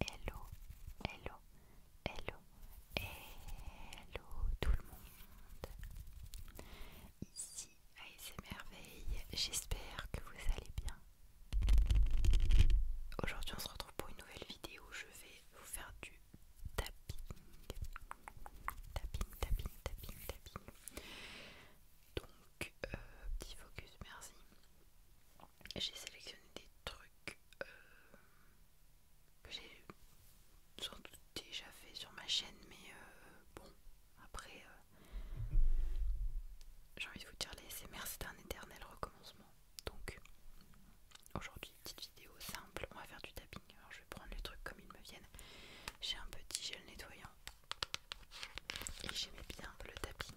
Hello, hello, hello, hello tout le monde. Ici merveilles, j'espère que vous allez bien. Aujourd'hui on se retrouve pour une nouvelle vidéo, je vais vous faire du tapping. Tapping, tapping, tapping, tapping. Donc, euh, petit focus, merci j'ai sélectionné des trucs euh, que j'ai sans doute déjà fait sur ma chaîne, mais euh, bon, après, euh, j'ai envie de vous dire les SMR, c'est un éternel recommencement. Donc, aujourd'hui, petite vidéo simple, on va faire du tapping. Alors, je vais prendre les trucs comme ils me viennent. J'ai un petit gel nettoyant et j'aimais bien le tapping.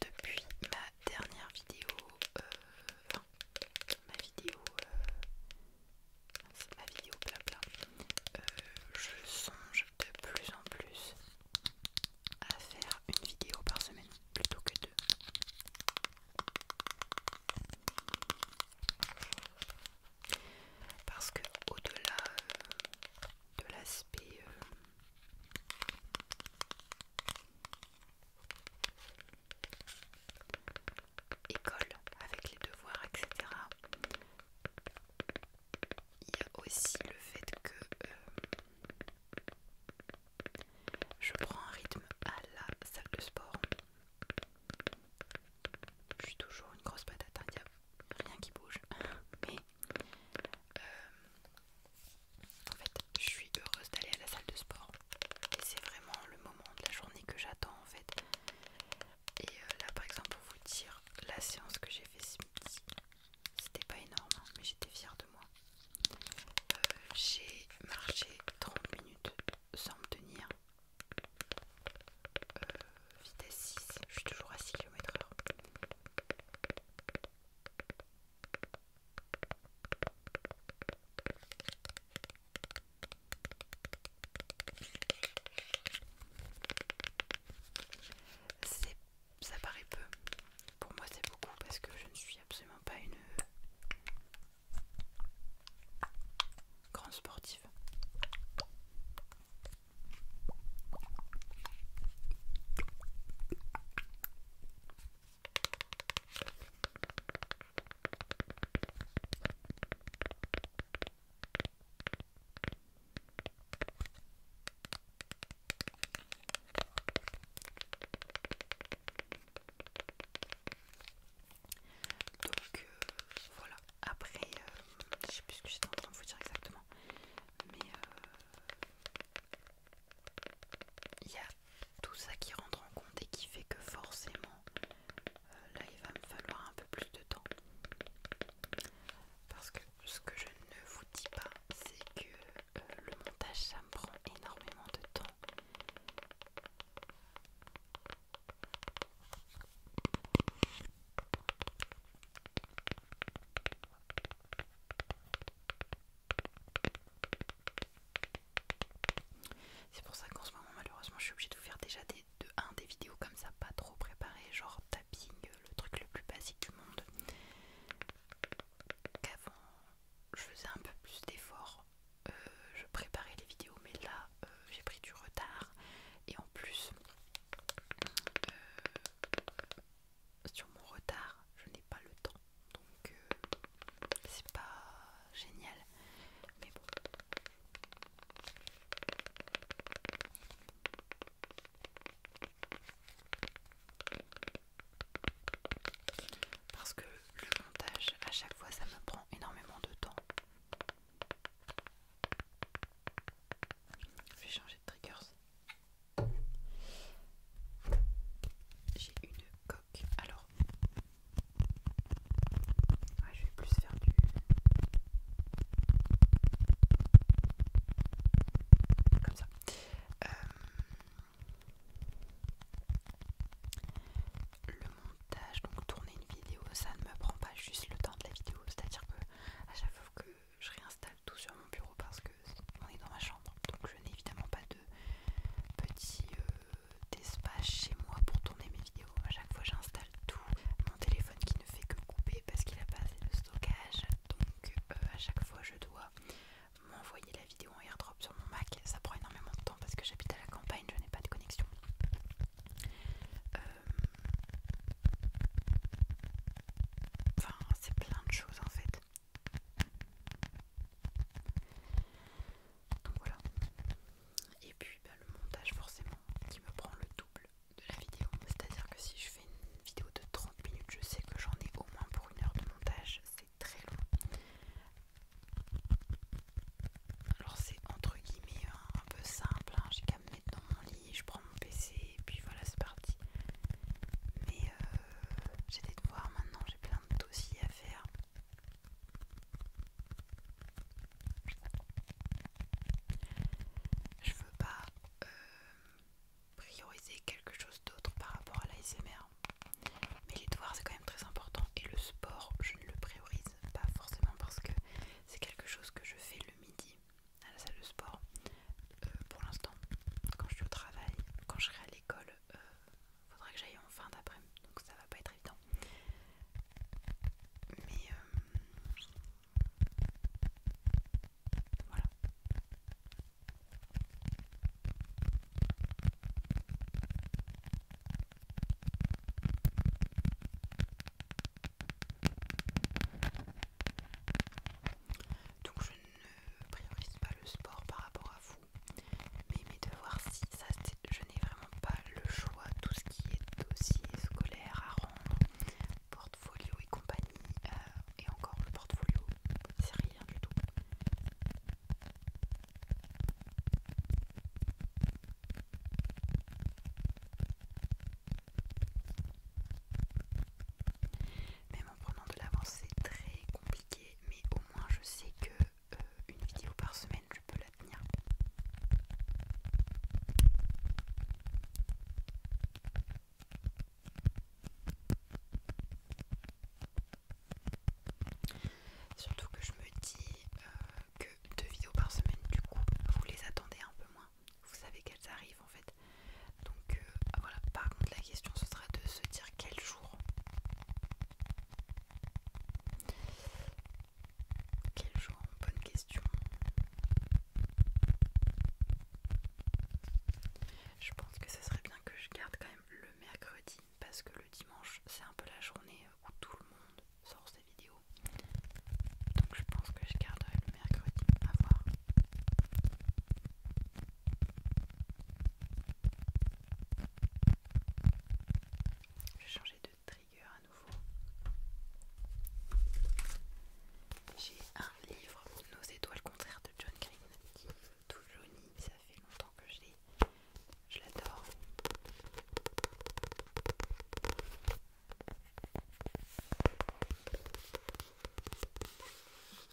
Depuis ma dernière vidéo, euh, ma vidéo euh, ma vidéo blabla, euh, je songe de plus en plus à faire une vidéo par semaine plutôt que deux. Parce que au-delà euh, de l'aspect euh, école avec les devoirs, etc. Il y a aussi le fait que euh, je prends un rythme à la salle de sport. Je suis toujours une grosse patate, hein. il n'y a rien qui bouge. Mais euh, en fait, je suis heureuse d'aller à la salle de sport. Et c'est vraiment le moment de la journée que j'attends en fait. Et euh, là par exemple pour vous dire la séance que j'ai fait ce midi, c'était pas énorme hein, mais j'étais fière de moi. Euh, j'ai marché 30 minutes sans me tenir. Euh, vitesse 6, je suis toujours à 6 km heure. Ça paraît peu, pour moi c'est beaucoup parce que je ne suis absolument pas une grande sportive. Donc euh, voilà, après, euh, je sais plus ce que j'étais en train de vous dire exactement, mais euh, il y a tout ça qui rentre en compte et qui fait que forcément euh, là, il va me falloir un peu plus de temps. Parce que ce que je ne vous dis pas, c'est que euh, le montage, ça me prend énormément de temps. C'est pour ça qu'en ce moment, malheureusement, je suis obligée de vous faire déjà des, de, des vidéos comme ça, pas trop préparées, genre tapping, euh, le truc le plus basique du monde. Qu'avant, je faisais un peu plus d'efforts, euh, je préparais les vidéos, mais là, euh, j'ai pris du retard. Et en plus, sur mon retard, je n'ai pas le temps. Donc, c'est pas génial, mais bon. Parce que le montage, à chaque fois, ça me prend énormément de temps. Je vais changer de triggers. J'ai une coque. Alors, je vais plus faire du. Comme ça. Euh, le montage, donc tourner une vidéo, ça ne me prend pas juste le temps de la vidéo. C'est-à-dire que à chaque fois que je réinstalle tout sur mon bureau parce que on est dans ma chambre, donc je n'ai évidemment pas de petit euh, d'espace chez moi pour tourner mes vidéos. À chaque fois, j'installe tout. Mon téléphone qui ne fait que couper parce qu'il n'a pas assez de stockage. Donc, euh, à chaque fois, je dois m'envoyer la vidéo en airdrop sur mon Mac. Ça prend énormément de temps parce que j'habite à la campagne, je n'ai pas de connexion. Euh, enfin, c'est plein de choses en fait. Donc voilà. Et puis bah, le montage forcément qui me prend le double de la vidéo. C'est-à-dire que si je fais une vidéo de 30 minutes, je sais que j'en ai au moins pour une heure de montage. C'est très long. Alors c'est entre guillemets hein, un, peu simple. Hein. J'ai qu'à me mettre dans mon lit, je prends mon PC et puis voilà c'est parti. Mais euh, j'ai des devoirs maintenant, j'ai plein de dossiers à faire. Je veux pas euh, prioriser quelque chose d'autre par rapport à l'ASMR. Mais les devoirs c'est quand même très important et le sport je ne le priorise pas forcément parce que c'est quelque chose que je fais le midi à la salle de sport euh, pour l'instant quand je suis au travail, quand je serai à l'école il euh, faudra que j'aille en fin daprès donc ça va pas être évident. Mais euh, voilà. Donc je ne priorise pas le sport par rapport à vous. Mais mes devoirs, si, ça, je n'ai vraiment pas le choix. Tout ce qui est dossier scolaire à rendre, portfolio et compagnie, euh, et encore le portfolio, c'est rien du tout. Même en prenant de l'avance, c'est très compliqué, mais au moins je sais que euh, une vidéo par semaine, je peux la tenir. Surtout que je me dis euh, que deux vidéos par semaine, du coup, vous les attendez un peu moins. Vous savez qu'elles arrivent en fait. Donc euh, voilà, par contre la question ce sera de se dire quel jour quel genre Bonne question. Je pense que ce serait bien que je garde quand même le mercredi parce que le dimanche c'est un peu la journée où tout le monde sort ses vidéos. Donc je pense que je garderai le mercredi à voir. Je vais changer de trigger à nouveau. J'ai un livre, Nos étoiles contraires de John Green, qui est tout jauni, ça fait longtemps que je l'ai. Je l'adore.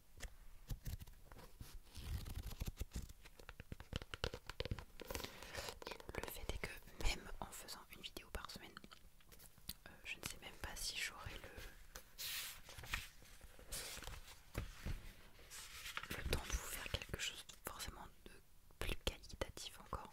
le fait est que même en faisant une vidéo par semaine, euh, je ne sais même pas si j'aurai le... le temps de vous faire quelque chose forcément de plus qualitatif encore.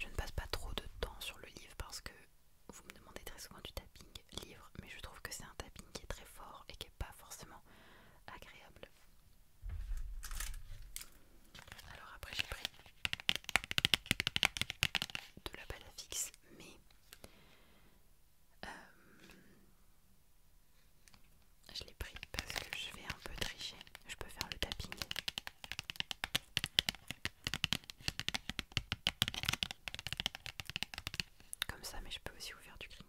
Je ne passe pas trop de temps sur le livre parce que vous me demandez très souvent du tapping livre, mais je trouve que c'est un tapping qui est très fort et qui n'est pas forcément agréable. Alors après j'ai pris de la balle mais euh, je l'ai pris parce que je vais un peu tricher. Je peux faire le tapping comme ça, mais je peux aussi ouvrir du crinkle.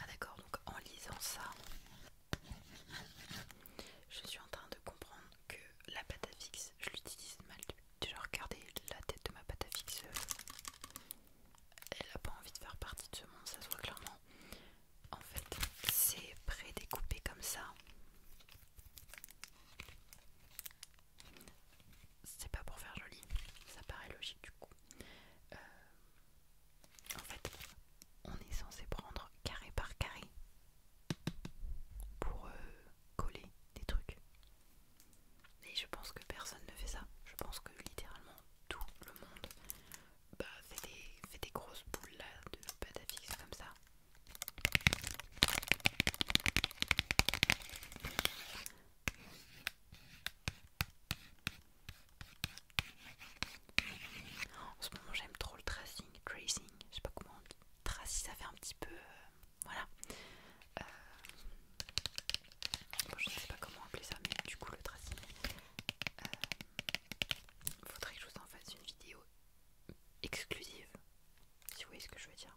Ah d'accord, donc en lisant ça, je suis en train de comprendre que la pâte fixe, je l'utilise mal. Déjà regardez la tête de ma pâte elle a pas envie de faire partie de ce monde, ça se voit clairement. En fait, c'est prédécoupé comme ça. C'est pas pour faire joli, ça paraît logique du coup. Euh, en fait, on est censé prendre carré par carré pour euh, coller des trucs. Et je pense que personne ne fait ça. Je pense que littéralement tout le monde bah, fait, des, grosses boules de pâte à fixe comme ça. En ce moment, j'aime trop le tracing, tracing, je sais pas comment on dit. ça fait un petit peu. Euh, voilà. Euh, je ne sais pas comment appeler ça, mais du coup, le tracing. il euh, faudrait que je vous en fasse une vidéo exclusive, si vous voyez ce que je veux dire.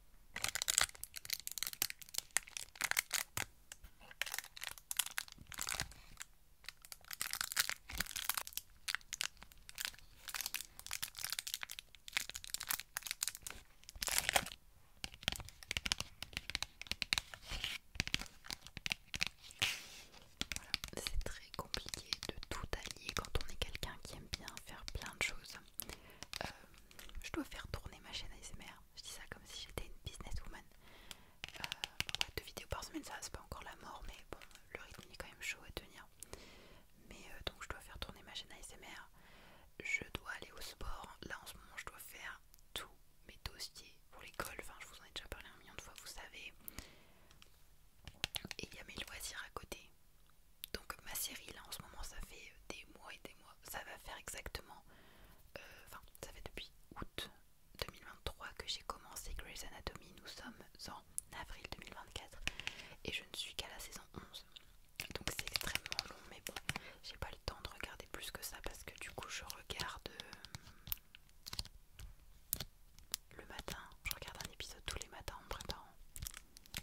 C'est très compliqué de tout allier quand on est quelqu'un qui aime bien faire plein de choses. Euh, je dois faire tourner ma chaîne ASMR. Je dis ça comme si j'étais une businesswoman. Euh, deux vidéos par semaine, ça c'est pas encore la mort, mais bon, le rythme est quand même chaud à tenir. Mais euh, donc je dois faire tourner ma chaîne ASMR. Je dois aller au sport. Là en ce moment, je dois faire tous mes dossiers pour l'école. Enfin, je vous en ai déjà parlé un million de fois, vous savez. Et il y a mes loisirs à côté. Donc ma série là en ce moment ça fait euh, des mois et des mois, ça va faire exactement, euh, enfin ça fait depuis août 2023 que j'ai commencé Grey's Anatomy, nous sommes en avril 2024 et je ne suis qu'à la saison 11. Donc c'est extrêmement long mais bon, j'ai pas le temps de regarder plus que ça parce que du coup je regarde euh, le matin, je regarde un épisode tous les matins en printemps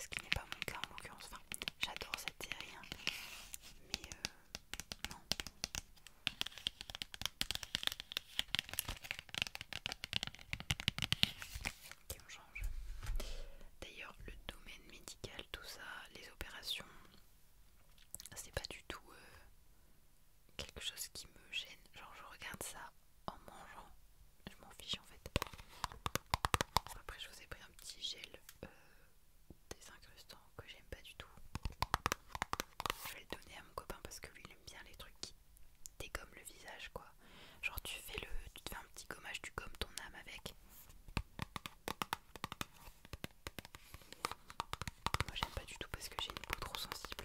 ce qui n'est pas mon cas en l'occurrence. Enfin, j'adore cette série, hein. mais euh, non. on change. D'ailleurs, le domaine médical, tout ça, les opérations, c'est pas du tout euh, quelque chose qui me gêne. Genre, je regarde ça en mangeant je m'en fiche en fait. Après, je vous ai pris un petit gel euh, désincrustant que j'aime pas du tout. Je vais le donner à mon copain parce que lui il aime bien les trucs qui dégomment le visage quoi. Genre tu fais le, tu te fais un petit gommage, tu gommes ton âme avec. Moi j'aime pas du tout parce que j'ai une peau trop sensible.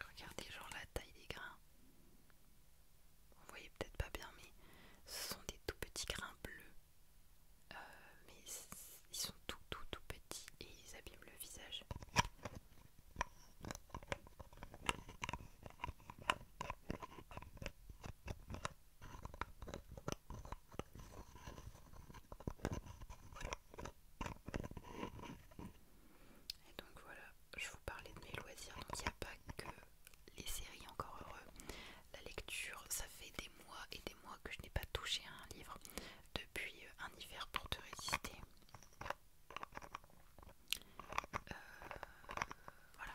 Regardez genre la taille des grains. Vous voyez peut-être pas bien mais ce sont des tout petits grains bleus. Euh, mais ils sont tout tout tout petits et ils abîment le visage. Et donc voilà, je vous parlais de mes loisirs, donc il n'y a pas que les séries encore heureux. La lecture, ça fait des mois et des mois que je n'ai pas touché à un livre depuis euh, un hiver pour te résister. Euh, voilà,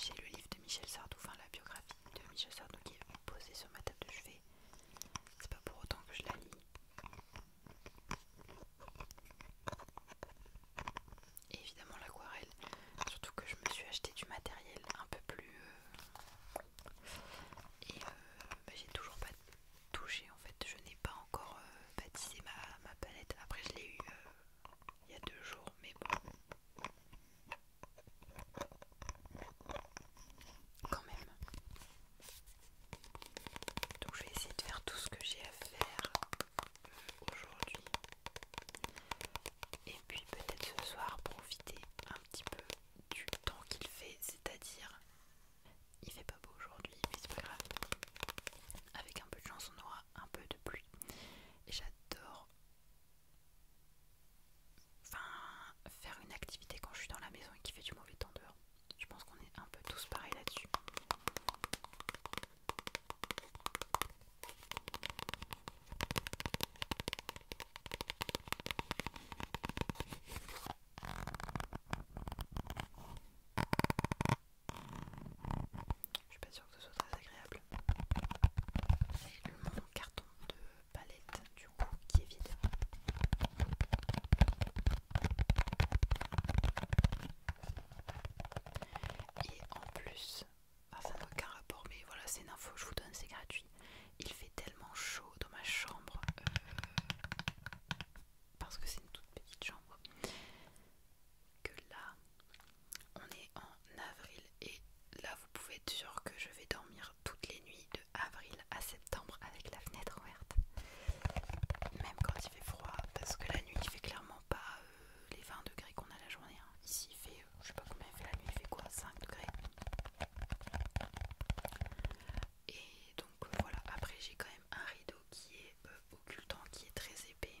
j'ai le livre de Michel Sardou, enfin la biographie de Michel Sardou qui est posée sur ma table de chevet c'est pas pour autant que je la lis. Et évidemment l'aquarelle, surtout que je me suis acheté du matériel un peu plus euh, et euh, bah, j'ai toujours pas touché en fait, je n'ai pas encore euh, baptisé ma, ma palette. Après je l'ai eu il y a deux jours, mais bon, quand même. Donc je vais essayer de faire tout ce que j'ai à faire euh, aujourd'hui. Et puis peut-être ce soir profiter un petit peu du temps qu'il fait, c'est-à-dire il fait pas beau aujourd'hui, mais c'est pas grave. Avec un peu de chance, on aura un peu de pluie. Et j'adore Enfin, faire une activité quand je suis dans la maison et qu'il fait du mauvais temps dehors. Je pense qu'on est un peu tous pareils là-dessus. Je suis pas sûre que ce soit très agréable. C'est mon carton de palette du coup qui est vide. Et en plus, ça n'a aucun rapport, mais voilà, c'est une info, je vous donne, c'est gratuit. Il fait tellement chaud dans ma chambre, euh, parce que c'est une toute petite chambre, que là, on est en avril et là vous pouvez être sûr que je vais dormir toutes les nuits de avril à septembre avec la fenêtre ouverte même quand il fait froid parce que la nuit il fait clairement pas euh, les 20 degrés qu'on a la journée hein. ici il fait euh, je sais pas combien il fait la nuit il fait quoi 5 degrés et donc euh, voilà après j'ai quand même un rideau qui est occultant qui est très épais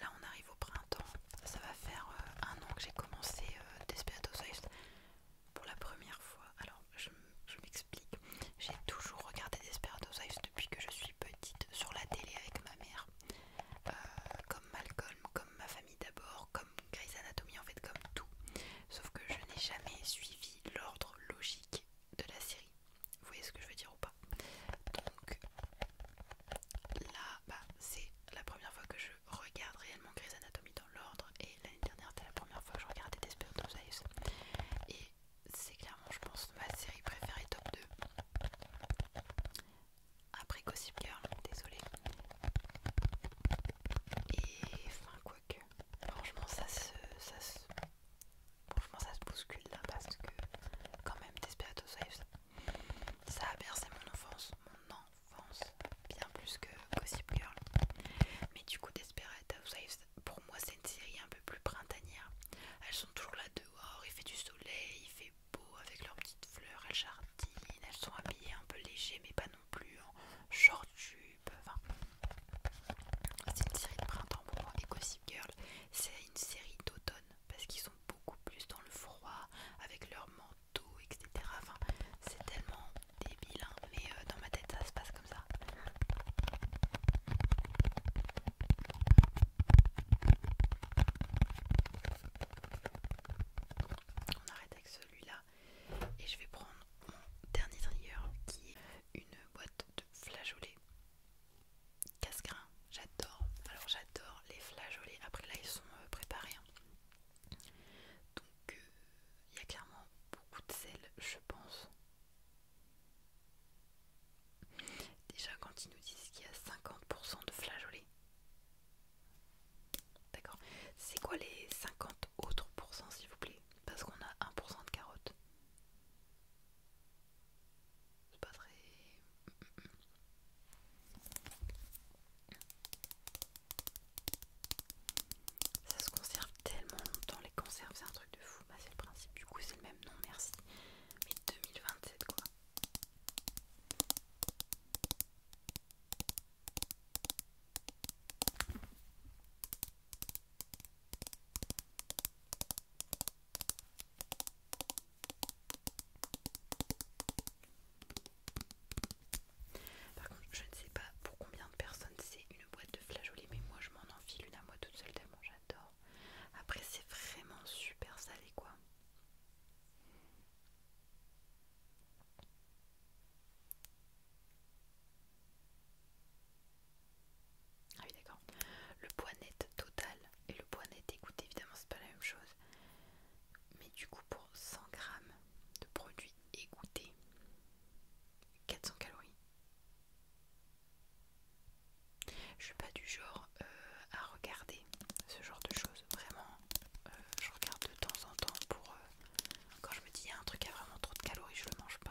Là on arrive au printemps, ça va faire euh, un an que j'ai commencé euh, Desperate pour la première fois. Alors je, m'explique, j'ai toujours regardé Desperate Housewives depuis que je suis petite sur la télé avec ma mère. Euh, comme Malcolm, comme ma famille d'abord, comme Grey's Anatomy, en fait comme tout. Sauf que je n'ai jamais suivi l'ordre logique de la série. Vous voyez ce que je veux dire ou pas Donc là, bah, c'est la première fois que je regarde réellement Grey's Anatomy dans l'ordre. Et l'année dernière, c'était la première fois que je regardais Desperate Housewives. Et c'est clairement, je pense, ma série préférée top 2. Après Gossip Girl, désolé. Et enfin, quoique. Franchement, ça Ça se Franchement, ça se bouscule là parce que, quand même, Saves ça a bercé mon enfance, mon enfance, bien plus que Gossip Girl. Mais du coup, Saves pour moi, c'est une série un peu plus printanière. Elles sont toujours là dehors, il fait du soleil, il fait beau avec leurs petites fleurs, elles jardinent, elles sont habillées un peu léger, mais pas non plus en short tube. Enfin, c'est une série de printemps pour moi. Et Gossip Girl, c'est une série d'automne parce qu'ils sont beaucoup plus dans le froid avec leur manteau, etc. Enfin, c'est tellement débile, hein. mais euh, dans ma tête ça se passe comme ça. On arrête avec celui-là et je vais prendre mon dernier trigger qui est une boîte de flageolets casse j'adore. Alors j'adore les flageolets. Après là ils sont euh, préparés. Hein. Donc euh, il y a clairement beaucoup de sel, je pense. Déjà quand ils nous disent qu'il y a 50% de flageolets. D'accord. C'est quoi les 50 autres pourcents s'il vous plaît Parce qu'on a 1% de carottes. C'est pas très. Ça se conserve tellement longtemps, les conserves, c'est un truc de fou. Bah, c'est le principe, du coup, c'est le même nom, merci. Mais 2027, quoi. Par contre, je ne sais pas pour combien de personnes c'est une boîte de flageolets, mais moi je m'en enfile une à moi toute seule tellement j'adore. Après, c'est vraiment super salé quoi. Ah oui d'accord. Le poids net total et le poids net égoutté, évidemment c'est pas la même chose. Mais du coup pour 100 grammes de produits égoutés 400 calories. Je suis pas du genre euh, à regarder ce genre de choses. Vraiment, euh, je regarde de temps en temps pour euh, quand je me dis il y a un truc a vraiment trop de calories, je le mange pas.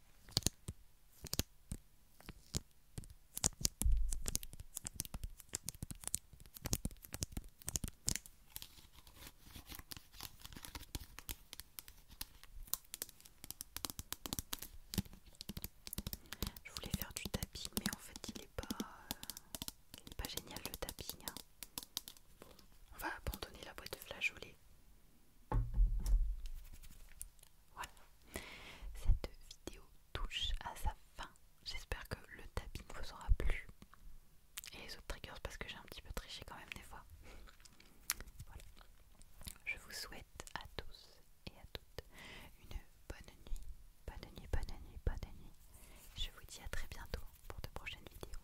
Je voulais faire du tapis, mais en fait, il n'est pas, génial le tapis. Hein. on va abandonner la boîte de flageolets. Voilà, cette vidéo touche à sa fin. J'espère que le tapis vous aura plu. Et les autres triggers parce que j'ai un petit peu triché quand même des fois. Voilà. Je vous souhaite à tous et à toutes une bonne nuit. Bonne nuit, bonne nuit, bonne nuit. Je vous dis à très bientôt pour de prochaines vidéos.